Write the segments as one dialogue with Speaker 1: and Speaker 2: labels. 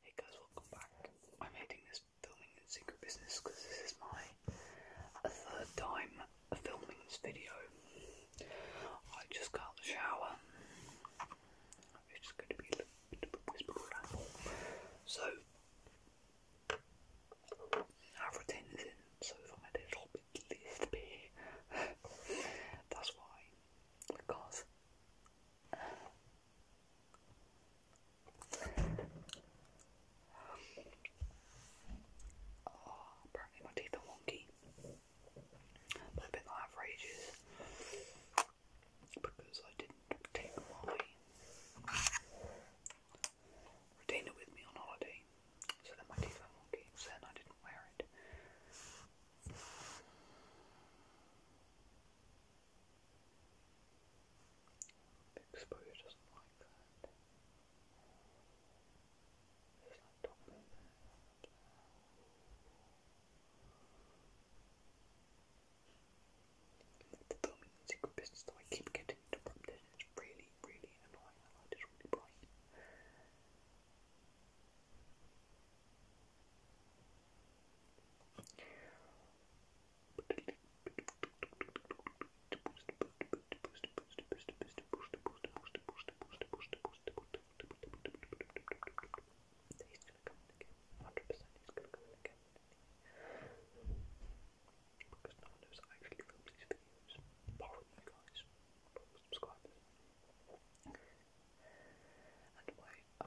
Speaker 1: Hey guys, welcome back. I'm hating this filming and secret business because this is my uh, third time filming this video. I just got the shower. It's going to be a little bit of a whisper So, I've retained it in, so if I'm a little bit lispy, that's why. Because Oh, apparently my teeth are wonky. But I've been like because I didn't take my with me on holiday. So then my teeth were wonky, then I didn't wear it. Big Spoo doesn't like that. He's like topping that. The filming I keep getting interrupted and it's light is really bright. He's Because no one knows actually film these videos. Apart from you guys. Apart And my, uh,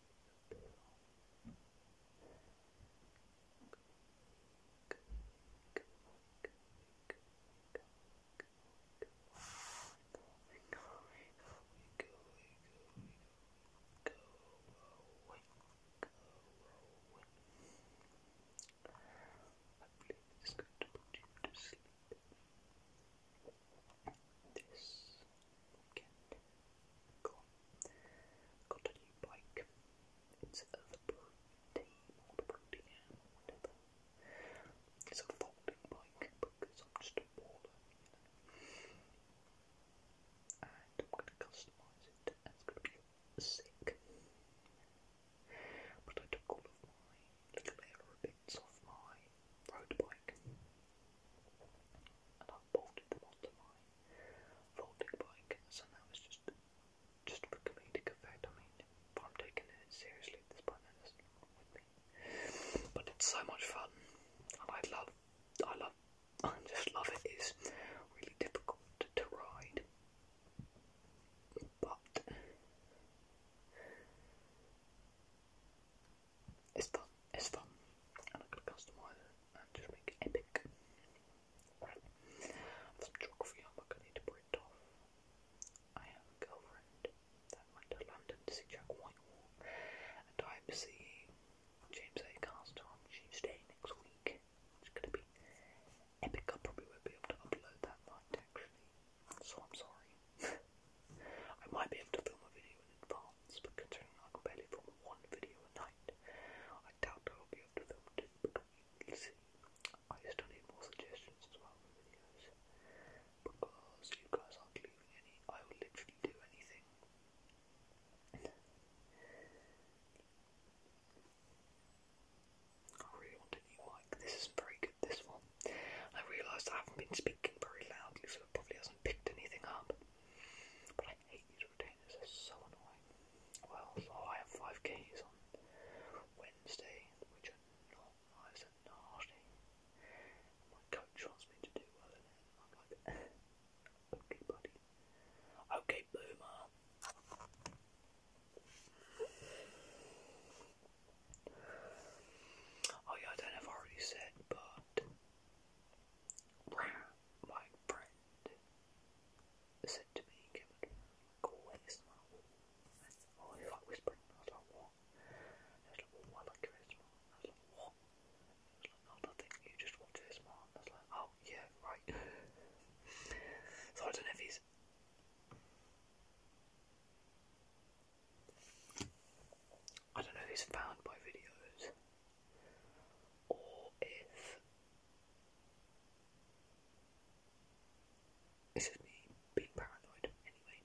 Speaker 1: believe this is going to put you to sleep. This weekend. Got a new bike. It's a the Pro It's a folding bike because I'm just a baller, you And I'm going to customise it it's going to be sick. But I took all of my little aero bits off my road bike bolted them onto my folding bike, so now it's just just for comedic effect. I mean, if I'm taking it seriously this point, then But it's so much fun, and I love, I love, I just love it. It's really difficult to ride, but it's fun. It's fun. And I could customize it and just make it epic. Some geography homework I need to print off. I have a girlfriend that went to London to see Jack Whitehall, and I'm seeing James A. Cast on Tuesday next week. It's going to be epic. I probably won't be able to upload that night actually, so I'm sorry. I might be able to film a video in advance but considering I can barely film one video a night, I doubt I will be able to film two, but we'll I still need more suggestions as well for videos, because you guys aren't leaving any, I will literally do anything. I really want a new This isn't very good, this one. I realised I haven't been speaking very loudly, so it probably hasn't picked anything up. I hate these retainers, they're so annoying. Well, so I have 5Ks on Wednesday, which are not nice and nasty. My coach wants me to do well in it, okay, buddy. Okay, boomer. Oh yeah, I don't know already said, but my friend, said to me, Kevin, oh, like always. Oh, he's like whispering. I was like, what? And was like, well, I was like, what? And was like, nothing, you just watch ASMR. And I was like, oh, yeah, right. so I don't know if he's. I don't know if he's found my videos or if it's just me being paranoid anyway.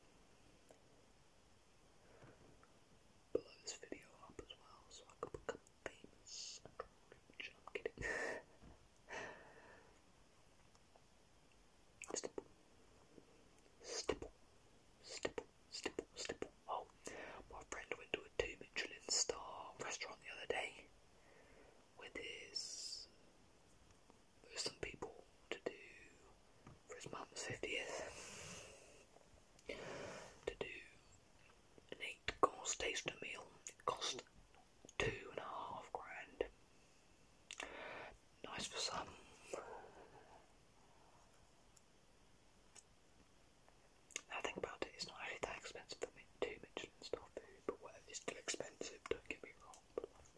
Speaker 1: Blow this video up as well so I can become famous and rich. i stipple, stipple, Oh, my friend went to a two Michelin star restaurant the other day with his with some people to do for his mum's fiftieth to do an eight course taster meal. It cost two and a half grand. Nice for some, now think about it, it's not actually that expensive for me. Too much star food, but whatever, it's still expensive, don't get me wrong, but like,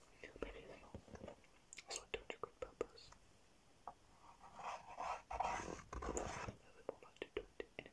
Speaker 1: maybe it's not. It's like 200 quid per person. A little more like 220, anyway.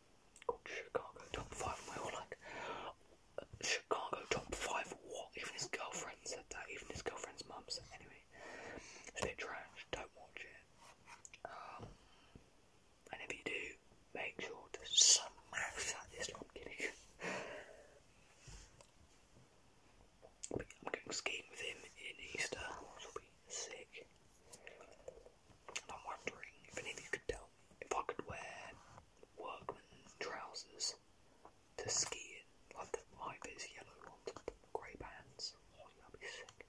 Speaker 1: Oh, Chicago top five. And we were like, Chicago top five. What? Even his girlfriend said that. Even his girlfriend's mum said. Anyway, it's a bit trash. Don't watch it. Um, and if you do, make sure to smash that I'm going skiing with him in Easter, which will be sick. I'm wondering if any of you could tell me if I could wear workman trousers to ski in, like the high vis yellow ones, the grey pants. Oh, you would be sick.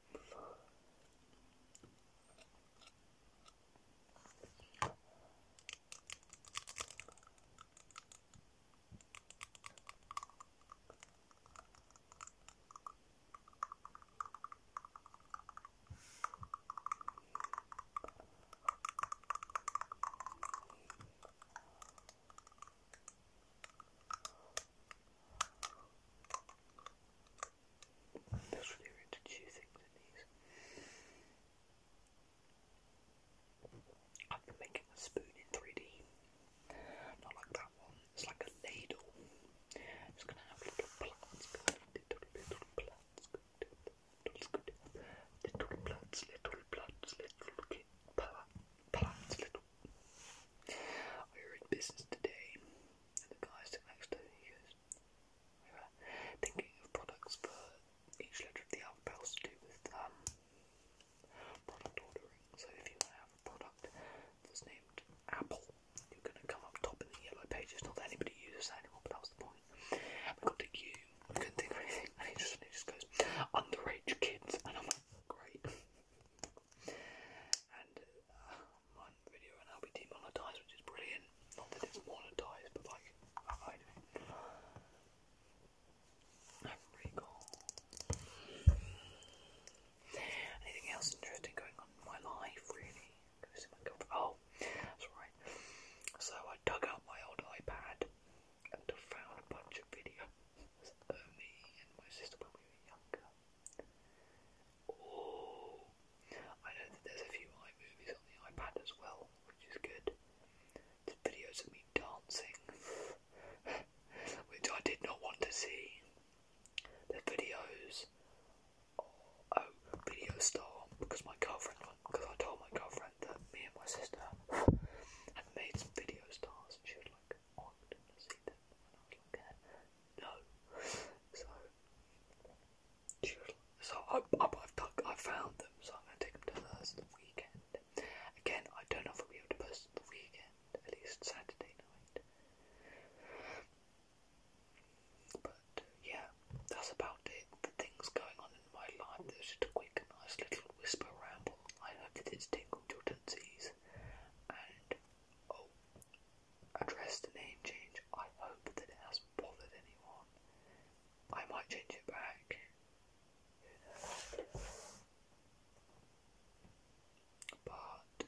Speaker 1: That's really weird to chew things these. I've been making a spoon in 3D. Not like that one. It's like a ladle. It's gonna have little plants going little little plants, good little plants, little plants, little kid, plants, little. I were in business today, and the guy sitting next to me goes, "We were thinking of products for each letter of the alphabet to do with um product ordering. So if you have a product that's named apple." You're going to come up top in the yellow pages. Not that anybody uses that anymore, but that was the point. And we got to you. I couldn't think of anything. And it just, it just goes, underage kids. And I'm like, great. And uh, one video and I'll be demonetized, which is brilliant. Not that it's monetized, but like, I do. Anything else interesting going on in my life, really? Oh, that's right. So I dug out my old iPad and found a bunch of videos of me and my sister when we were younger. Oh, I know that there's a few iMovies on the iPad as well, which is good. There's videos of me dancing, which I did not want to see. The videos oh, video star on because my girlfriend won. Because I told my girlfriend that me and my sister had made some video stars, and she was like, oh, I didn't want to see them. And I was like, yeah, no. So, she was like, so I, I, I've, dug, I've found them, so I'm going to take them to her the weekend. Again, I don't know if I'll be able to post them the weekend, at least Saturday night. But yeah, that's about it. The things going on in my life. That was a quick, nice little whisper ramble. I hope that it's tingled your tensies. And oh, address the name change. I hope that it hasn't bothered anyone. I might change it back. But